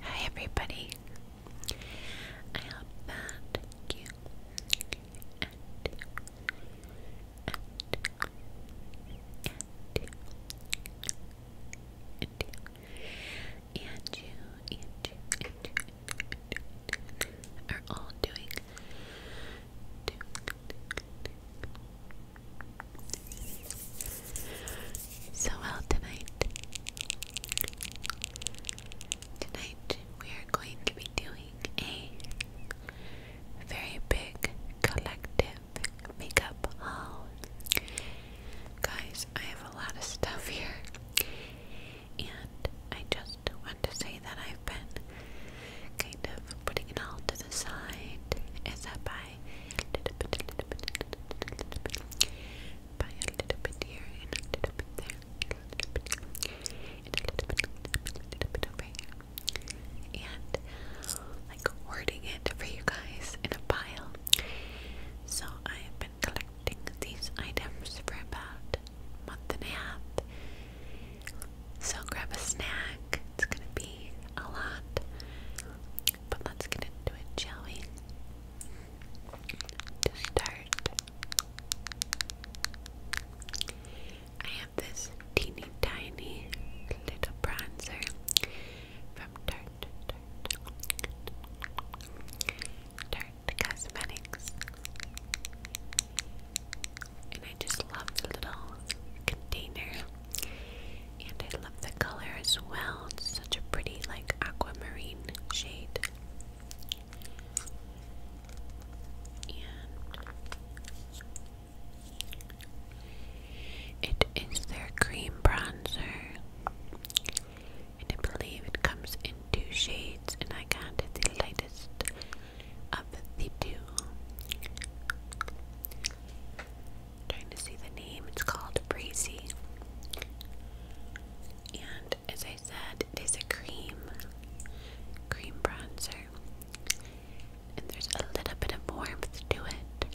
Hi, everybody. I hope that you and, you, and you, and you, and you, are all doing, so well tonight. Tonight we are going to be doing a very big collective makeup haul. Guys, I have a lot of stuff here, and I just want to say that I've been kind of putting it all to the side as I buy and like hoarding it for you guys in a pile. So I have been collecting these items for about a month and a half. So grab a snack. It's gonna be a lot. But let's get into it, shall we? To start, I have this teeny tiny little bronzer from Tarte, Tarte, Tarte Cosmetics. And I just love the little container. And I love the color as well. It's such a pretty, like, aquamarine shade. it is their cream bronzer. And I believe it comes in two shades, and I got the lightest of the two trying to see the name. It's called Breezy. And as I said, it is a cream, cream bronzer. And there's a little bit of warmth to it,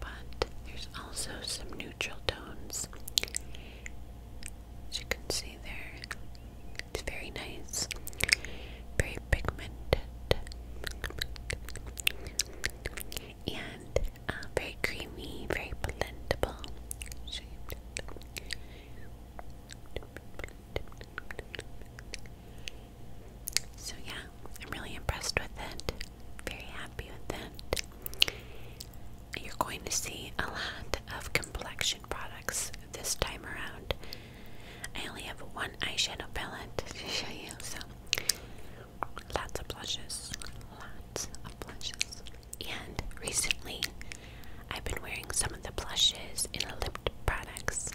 but there's also some neutral tones. As you can see there, it's very nice, very pigmented, and uh, very creamy, very blendable. So yeah, I'm really impressed with it. Very happy with it. You're going to see a lot of complexion products this time around. I only have one eyeshadow palette to show you, so Lots of blushes. Lots of blushes. And recently, I've been wearing some of the blushes in lip products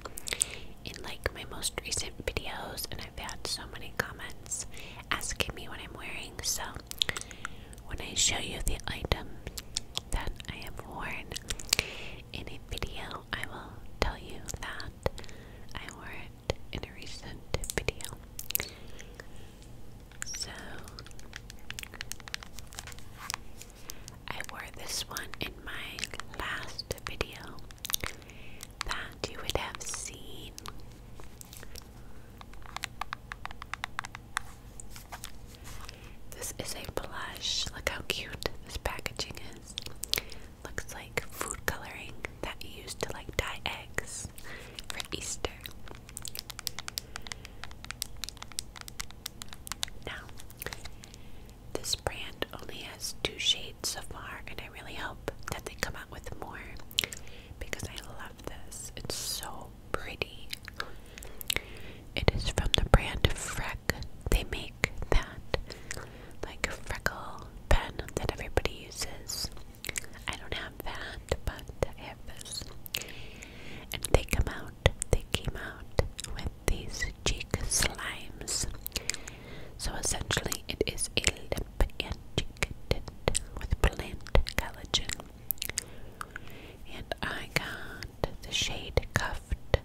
in like my most recent videos, and I've had so many comments asking me what I'm wearing. So, when I show you the item that I have worn in a video, I will tell you that I wore it in a recent video. So I wore this one in my last video that you would have seen. This is a blush. Look how cute this packaging is. Looks like food coloring that you used to like dye eggs for Easter. Now, this brand only has two shades so far, and I really hope that they come out with more because I love this. It's so pretty. It is from the brand Freck. They make that like freckle pen that everybody uses. I don't have that, but I have this. And they come out, they came out with these cheek slimes. So essentially, it is a lip and cheek tint with plant collagen. And I got the shade Cuffed.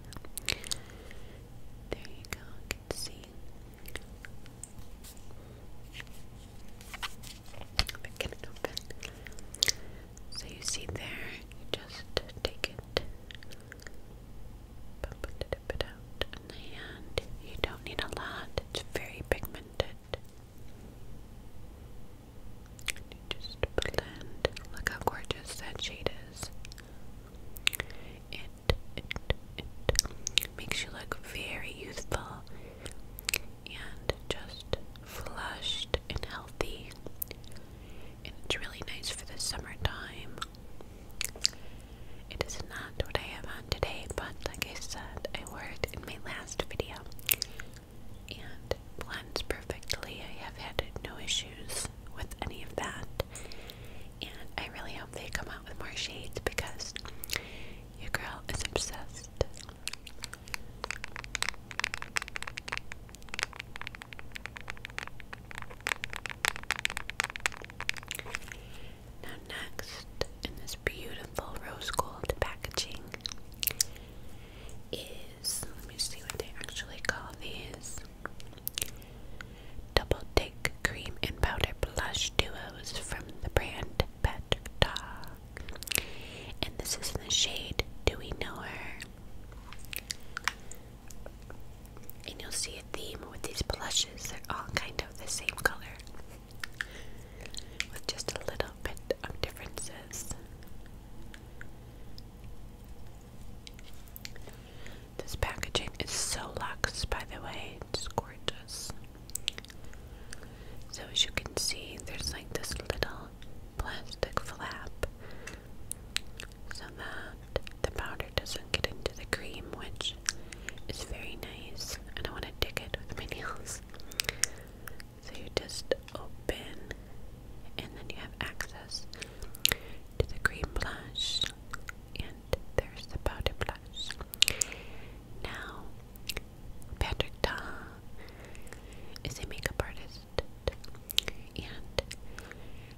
There you go, can see Get it open. So you see there, you just take it, dip it out in You don't need a lot, it's very pigmented. And you just blend. Look how gorgeous that shade is. It, makes you look very youthful and just flushed and healthy. And it's really nice for the summertime. It is not what I have on today, but like I said, I wore it in my last video. And blends perfectly. I have had no issues with any of that. And I really hope they come out with more shades because your girl is obsessed. Now, next, in this beautiful rose gold packaging, is let me see what they actually call these. Double Take Cream and Powder Blush Duos from the brand Pet Dog. And this is in the shade Do We Know Her? And you'll see a theme with these blushes. They're all kind of the same color with just a little bit of differences. This packaging is so luxe, by the way, it's gorgeous. So, as you can see, there's like this little plastic flap so that the powder doesn't get into the cream, which is very nice. I don't want to dig it with my nails. So, you just open, and then you have access to the cream blush and there's the powder blush. Now, Patrick Ta is a makeup artist, and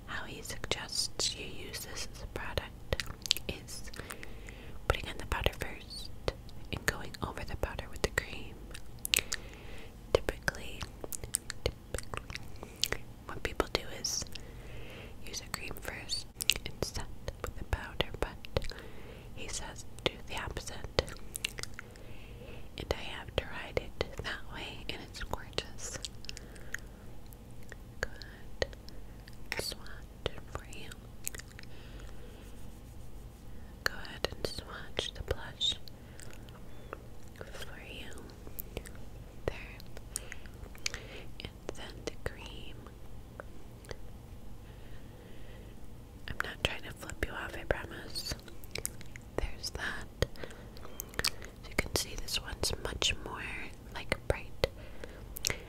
how he suggests you use this as a product is putting on the powder first and going over the powder with the cream. typically what people do is use a cream first and set with a powder, but he says do the opposite. And I have tried it that way, and it's gorgeous. Good. Swatch for you. Go ahead and swatch the blush for you. There and then the cream. I'm not trying to flip you off, I promise. There's that. As you can see, this one's much more like bright,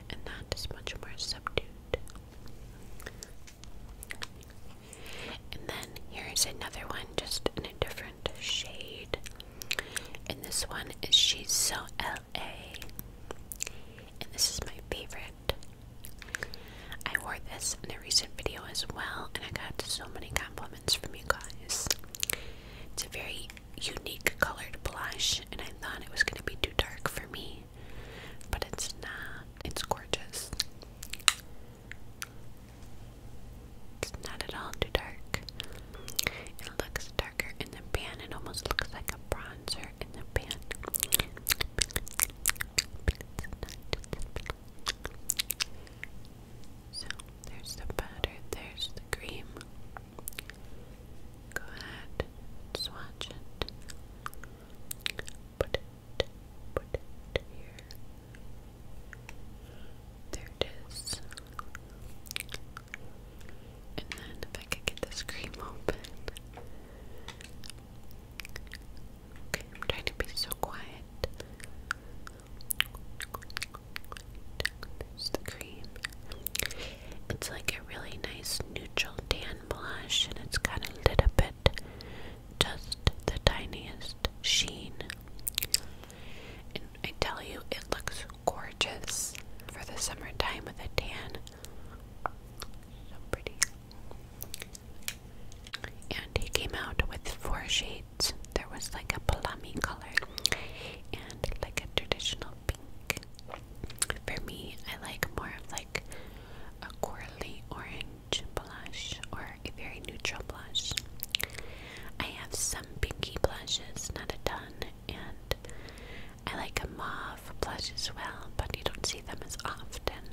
and that is much more subdued. And then here's another one, just in a different shade. And this one is She's So LA. And this is my favorite. I wore this in a recent video as well, and I got so many compliments from you guys. It's a very unique colored blush, and I thought it was going to be too dark for me, but it's not. It's gorgeous. It's not at all too dark. It looks darker in the pan. It almost looks like a bronzer in the pan. So there's the powder, there's the cream. Go ahead, swatch it. Put it, put it here. There it is. And then if I could get this cream open. Okay, I'm trying to be so quiet. There's the cream. It's like a really nice neutral tan blush, and it's got a little bit, just the tiniest sheen. And I tell you, it looks gorgeous for the summertime with a tan. So pretty. And he came out with four shades. There was like a palami color and like a traditional pink. For me, I like more of like a corally orange blush or a very neutral blush. I have some pinky blushes, not a ton, and I like a mauve blush as well, but you don't see them as often.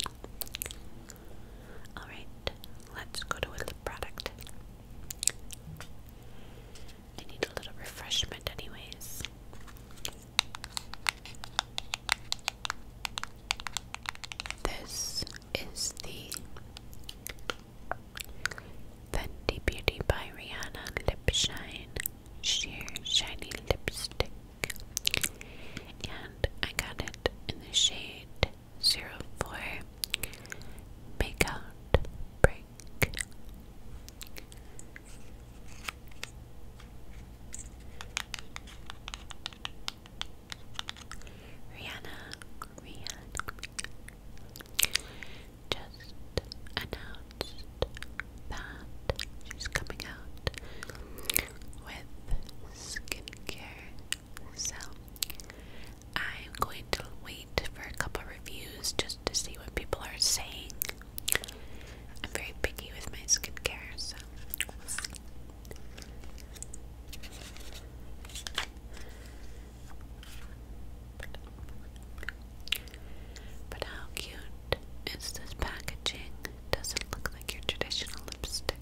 Alright, let's go to a lip product. I need a little refreshment, anyways. This is the Fenty Beauty by Rihanna Lip Shine Sheer Shiny Lipstick. And I got it in the shade 04 Makeout Break. Rihanna, Rihanna, just announced that she's coming out with skincare. So I'm going to wait for a couple reviews just to see what people are saying. I'm very picky with my skincare, so but how cute is this packaging? Doesn't look like your traditional lipstick.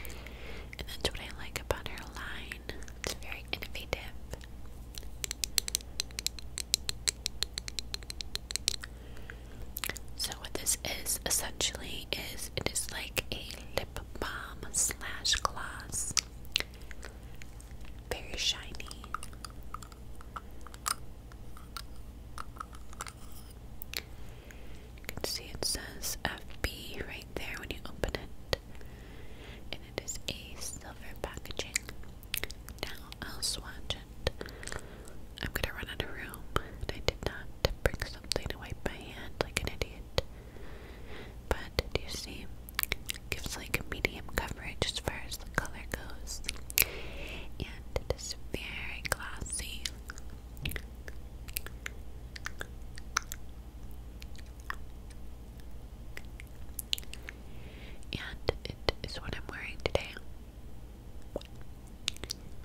And that's what I like about her line. It's very innovative. So what this is essentially is it is like a lip balm slash gloss. Very shiny. You can see it says FB right there when you open it. And it is a silver packaging. Now I'll swatch it. I'm gonna run out of room. And I did not bring something to wipe my hand like an idiot. But did you see? Gives like a medium coverage as far as the color goes. And it is very glossy. And it is what I'm wearing today.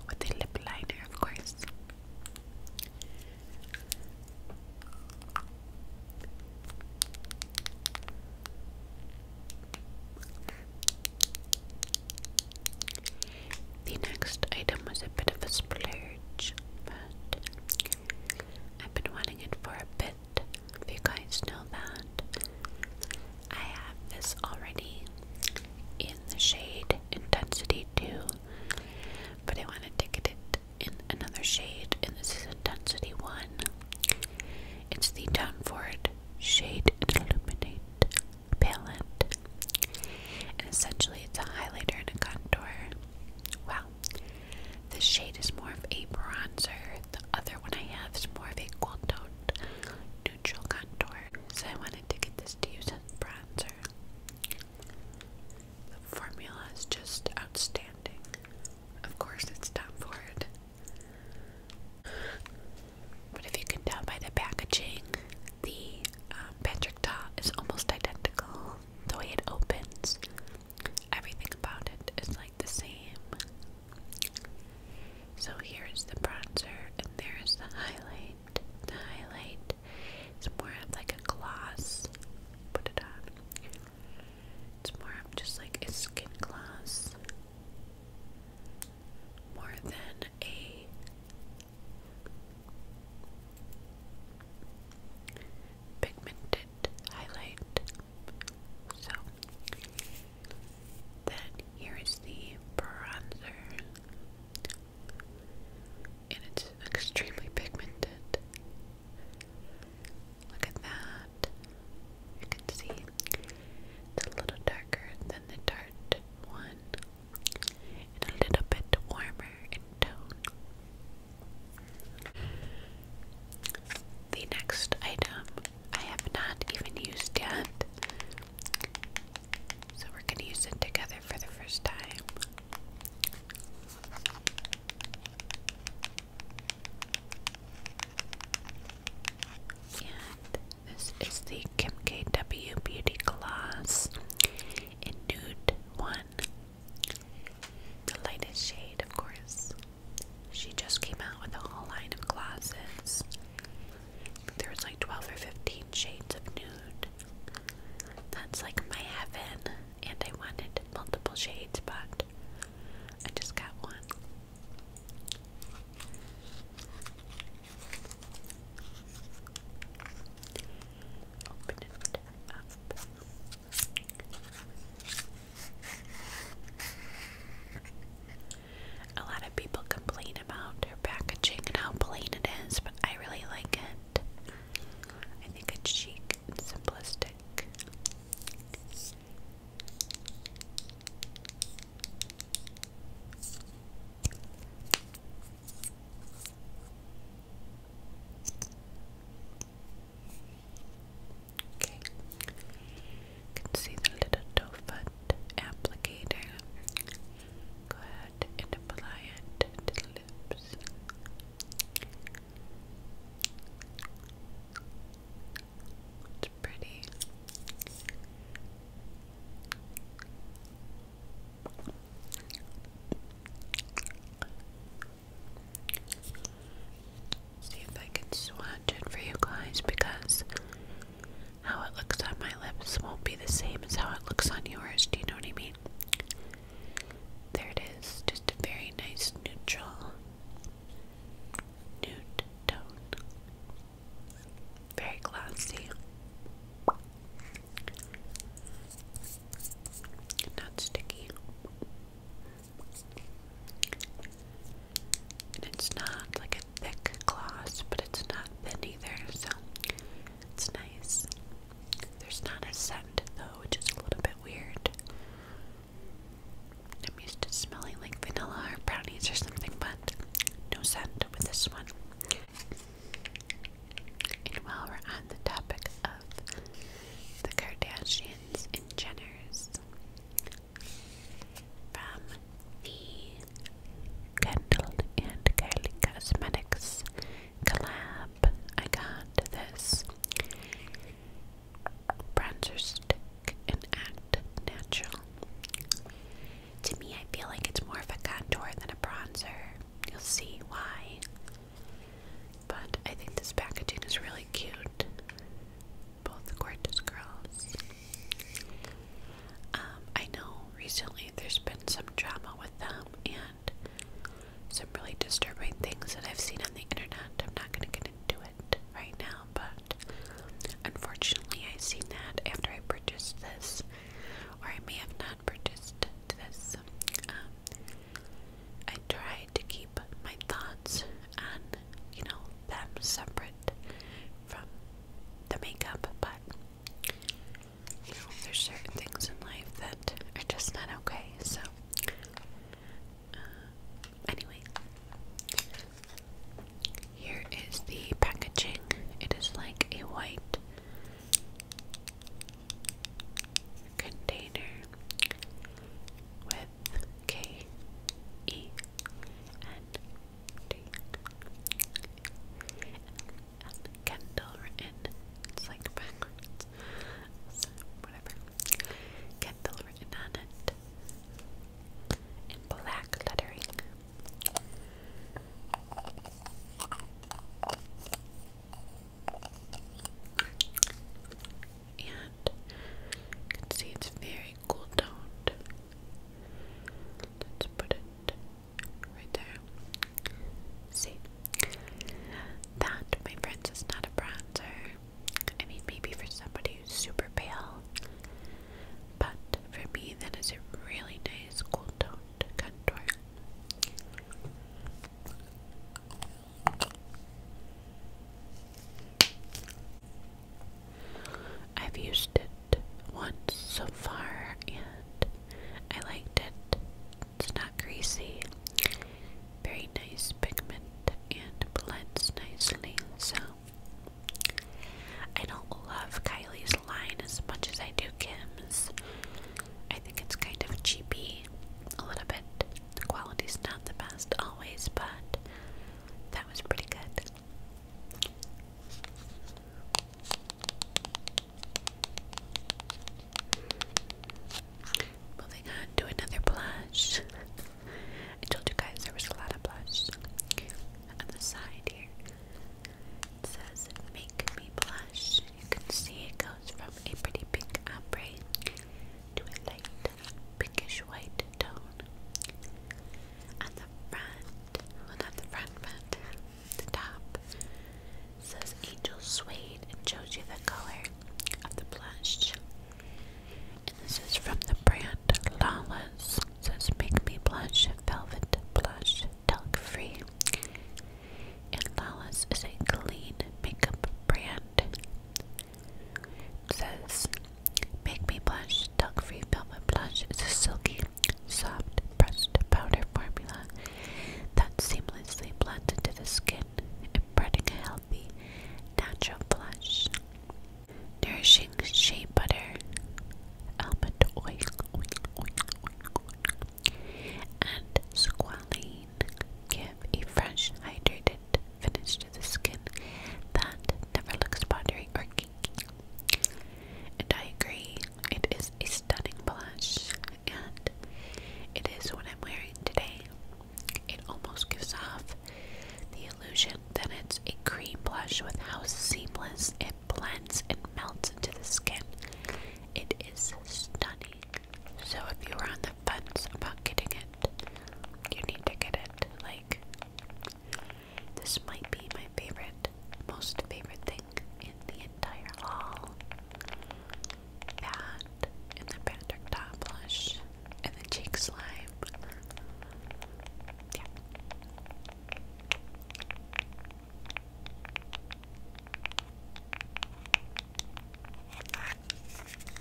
With a lip liner, of course. The next item was a bit of a splurge, but I've been wanting it for a bit. you guys know that, I have this already in the shade Intensity 2, but I want to take it in another shade, and this is Intensity 1. It's the Downford Shade Illuminate Palette. And essentially, it's a highlighter and a contour. Well, This shade is more of a bronzer. The other one I have is more of a cool toned neutral contour. So I wanted to get this to use as bronzer. The formula is just outstanding. Of course, it's time for it. But if you can tell by the packaging, the um, Patrick Ta is almost identical. The way it opens, everything about it is like the same. So here is the bronzer, and there is the highlight. The highlight is more of like a gloss. Put it on. It's more just like a skin gloss, more than a pigmented highlight. So, then here is the bronzer, and it's extremely pigmented. Look at that. You can see it's a little darker than the tart one and a little bit warmer in tone. The next item I have not even used yet. So we're going to use it together for the first time. And this is the Kim KW Beauty Gloss in Nude 1. The lightest shade, of course. She just came out with a whole line of glosses. There was like 12 or 15 shades of nude. That's like my heaven and I wanted multiple shades, but I just got one. Open it up. A lot of people complain about her packaging and how plain it is, but I really like it. I think it's chic and simplistic. Okay, you can see the little toe foot applicator. Go ahead and apply it it's pretty. See if I can swatch it for you guys because how it looks on my lips won't be the same as how it looks on yours. Do you know what I mean? There it is very nice neutral nude tone. Very classy. Not sticky. And it's not like a thick gloss, but it's not thin either, so it's nice. There's not a scent though, which is a little bit weird. I'm used to smelling like vanilla or brownies or something, but no scent with this one. And while we're on the topic of the Kardashians and Jenners, from the Kendall and Kylie Cosmetics, collab. I got this bronzer stick and Act Natural. To me, I feel like it's more of a contour than a bronzer. You'll see why. But I think this packaging is really cute. Both gorgeous girls. Um, I know recently there's been some drama with them, and some really disturbing things that I've seen on the internet. I'm not going to get into it right now, but unfortunately, I've seen that after I purchased this, or I may have not purchased this. Um, I tried to keep my thoughts and you know, them separate from the makeup, but you know, there's certain things in life that are just not okay, so uh, anyway, here is the packaging. It is like a white container with K E N D It's like backwards whatever. Kendall written on it in black lettering. And can see it's very cool toned. Let's put it right there. See, that, my friends, is not a bronzer. I mean, maybe for somebody who's super pale, but for me, that is a really nice cool toned contour. I've used it once so far and I liked it. It's not greasy. Very nice pigment and blends nicely. So I don't love Kylie's line as much as I do Kim's. I think it's kind of cheapy a little bit. The quality's not the best always, but that was pretty good. Moving on to another blush. I told you guys there was a lot of blush on the side here. It says make me blush. You can see it goes from a pretty big ombre to a light pinkish white tone. On the front, well not front, the top, says Angel Suede and shows you the color of the blush. And this is from the brand Lala's. says Make Me Blush Velvet Blush Talc Free. And Lala's is a clean makeup brand. It says Make Me Blush Talc Free Velvet Blush is a silky, soft, pressed powder formula that seamlessly blends into the skin imparting a healthy, natural blush. Nourishing shea butter, almond oil, and squalane give a fresh, hydrated finish to the skin that never looks powdery or kinky. And I agree, it is a stunning blush and it is what I'm wearing today. It almost gives off the illusion that it's a cream blush with how seamless it blends and melts into the skin. It is stunning. So if you are on the fence about getting it, you need to get it. Like this might be my favorite, most favorite thing in the entire haul and the Patrick Dot Blush, and then Cheek Slime. Yeah.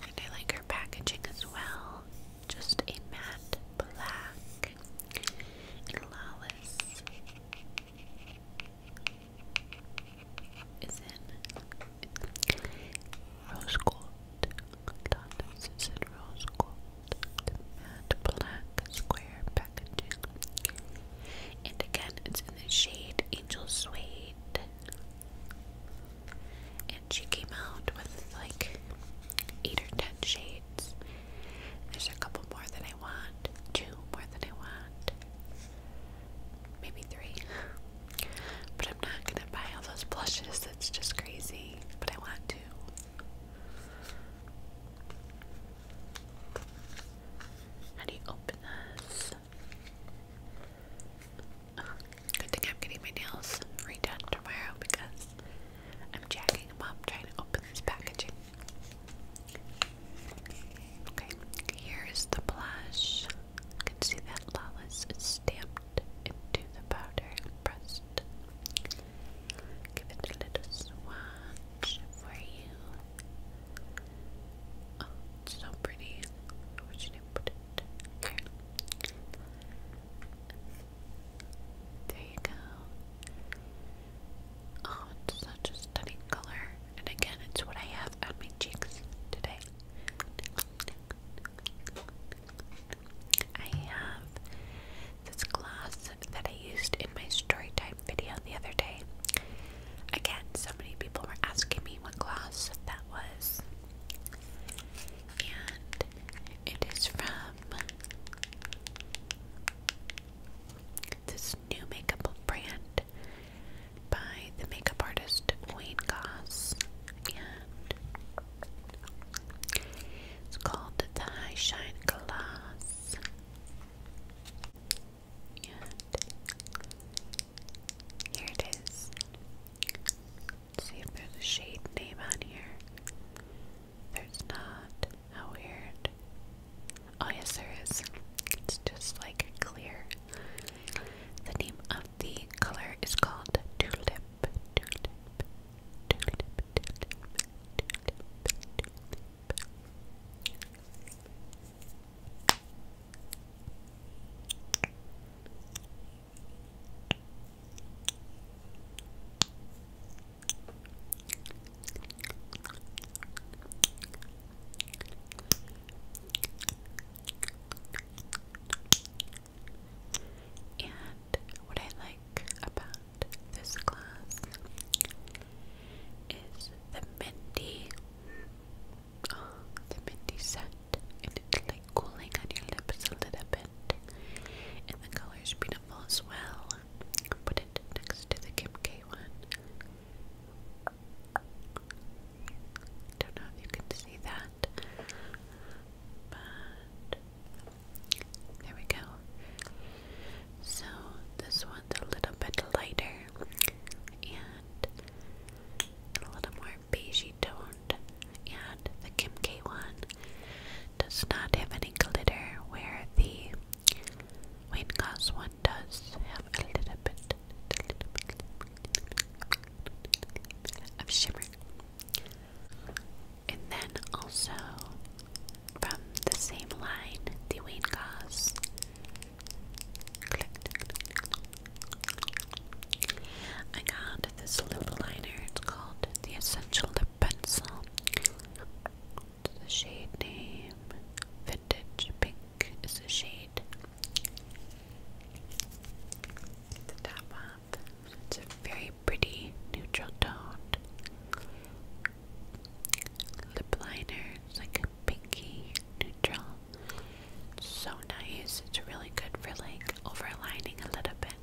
And I like her packaging as well. Just a matte black and is in rose gold. Donuts is in rose gold. The square packaging. And again, it's in the shade Angel Suede. And she came out with like eight or ten shades. There's a couple more that I want, two more that I want maybe three. But I'm not gonna buy all those blushes, that's just crazy. But I want to. How do you open this? good thing I'm getting my nails redone tomorrow because I'm jacking them up trying to open this packaging. Okay, here's the blush. You can see that Lawless is stamped into the powder pressed. Give it a little swatch for you. Oh, it's so pretty. Where should I There you go. Oh, it's such a stunning color. And again, it's what I have on my cheeks today. I have this gloss that I used in my story time video the other day. Again, so many people were asking me what gloss that was. And it is from this new makeup brand by the makeup artist Wayne Goss, and it's called the High Shine Glass. And here it see if there's a shade name on here. There's not. How weird. Oh, yes, there is. It's just like clear. The name of the color is called tulip. And what I like about this class is the Mindy, oh, the Mindy set, it's like cooling on your lips a little bit, and the color's beautiful as well. Put it next to the Kim K one. Don't know if you can see that, but there we go. So this one's a little bit lighter and a little more beigey toned, and the Kim K one does not have any glitter, where the Wayne Goss one does have a little bit of shimmer. And then also from the same line, the Wayne Goss. I got this lip liner. It's called the Essential Lip Pencil. It's the shade name Vintage Pink. It's a shade. the top off. It's a very pretty neutral tone. The liner. is like a pinky neutral. It's so nice. It's really good for like overlining a little bit.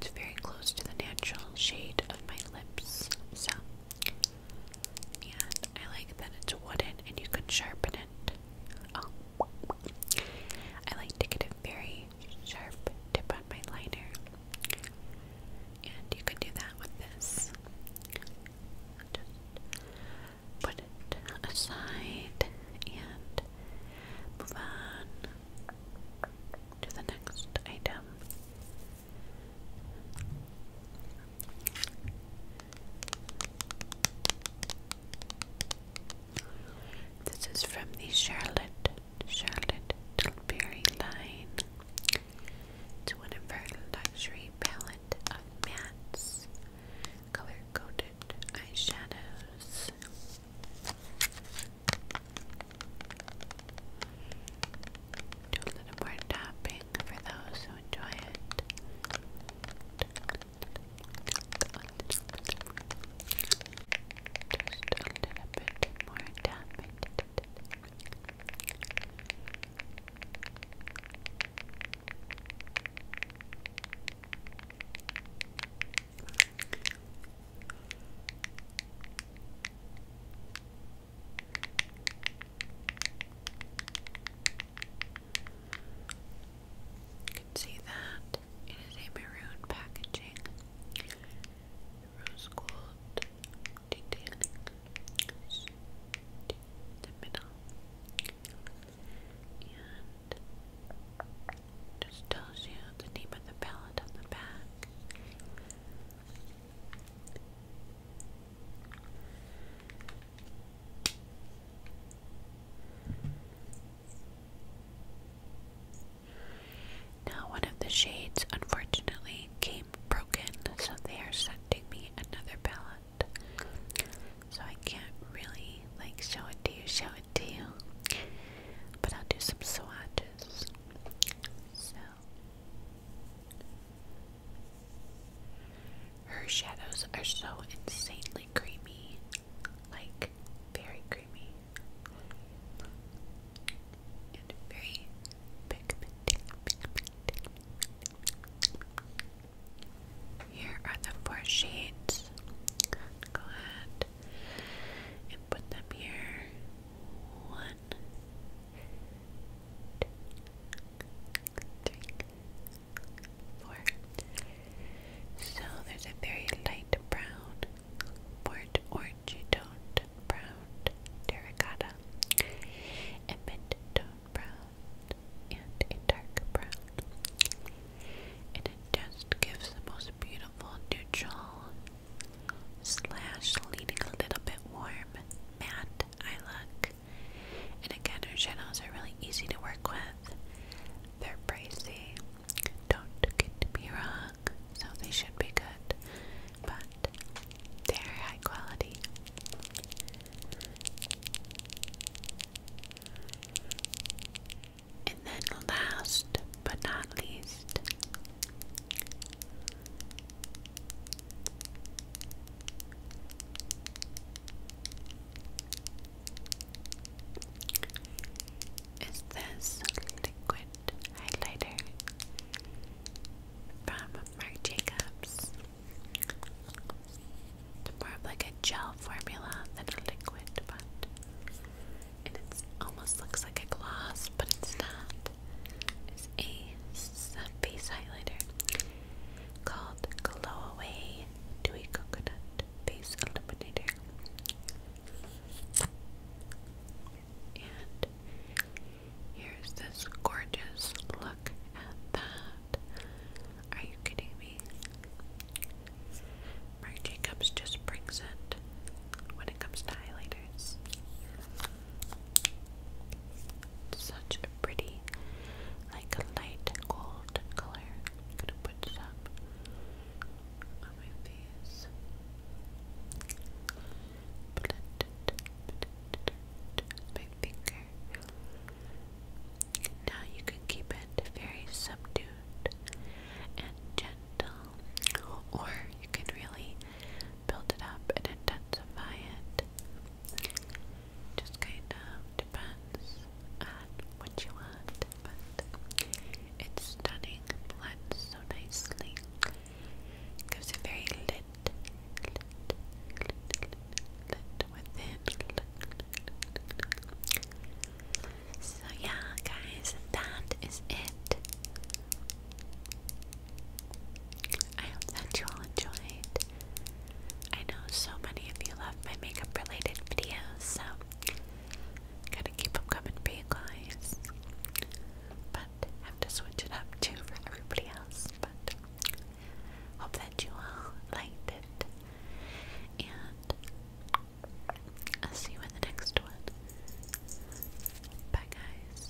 It's very close to the natural shade of my lips. So and I like that it's wooden and you can sharpen it. Oh. I like to get a very sharp tip on my liner, and you can do that with this. Just put it aside and move on to the next item. This is from the Charlotte Charlotte Tilbury line. It's one of our luxury palette of mattes, color coded eyeshadows. a little more topping for those who enjoy it. Just a little bit more tapping. Just you can see that it is a maroon packaging, rose gold detailing in the middle, and just tells you the name of the palette on the back. Now, one of the shades unfortunately came broken, so they are sending me another palette. So I can't really like show it to you, show it to you, but I'll do some swatches. So. Her shadows are so insanely creamy, like very creamy and very pigmented. Here are the four shades. Go ahead and put them here. One, two, three, so there's a very light brown, port orangey toned brown terracotta, a mint tone brown, and a dark brown. And it just gives the most beautiful neutral slash leading a little bit warm matte eye look. And again, her channels are really easy to work with. They're pricey, don't get me wrong, so they should be good, but they're high quality. And then, last but not least, this liquid highlighter from Marc Jacobs. It's more of like a gel formula than a liquid, but and it almost looks like a gloss, but it's not. It's a base highlighter called Glow Away Dewy Coconut Face Eliminator. And here's this gorgeous look at that. Are you kidding me? Marc Jacobs just brings it when it comes to highlighters such a pretty, like a light gold color. I'm gonna put some on my face. Blend it, blend my finger. Now you can keep it very subdued and gentle, or you can really build it up and intensify it just kind of depends on what you want, but it's stunning, blends so nicely, gives a very lit, lit, lit, lit, within. So yeah, guys, that is it. I hope that you all enjoyed. I know so many of you love my makeup related videos, so going to keep them coming for you guys. But have to switch it up too for everybody else. But hope that you all liked it. And I'll see you in the next one. Bye guys.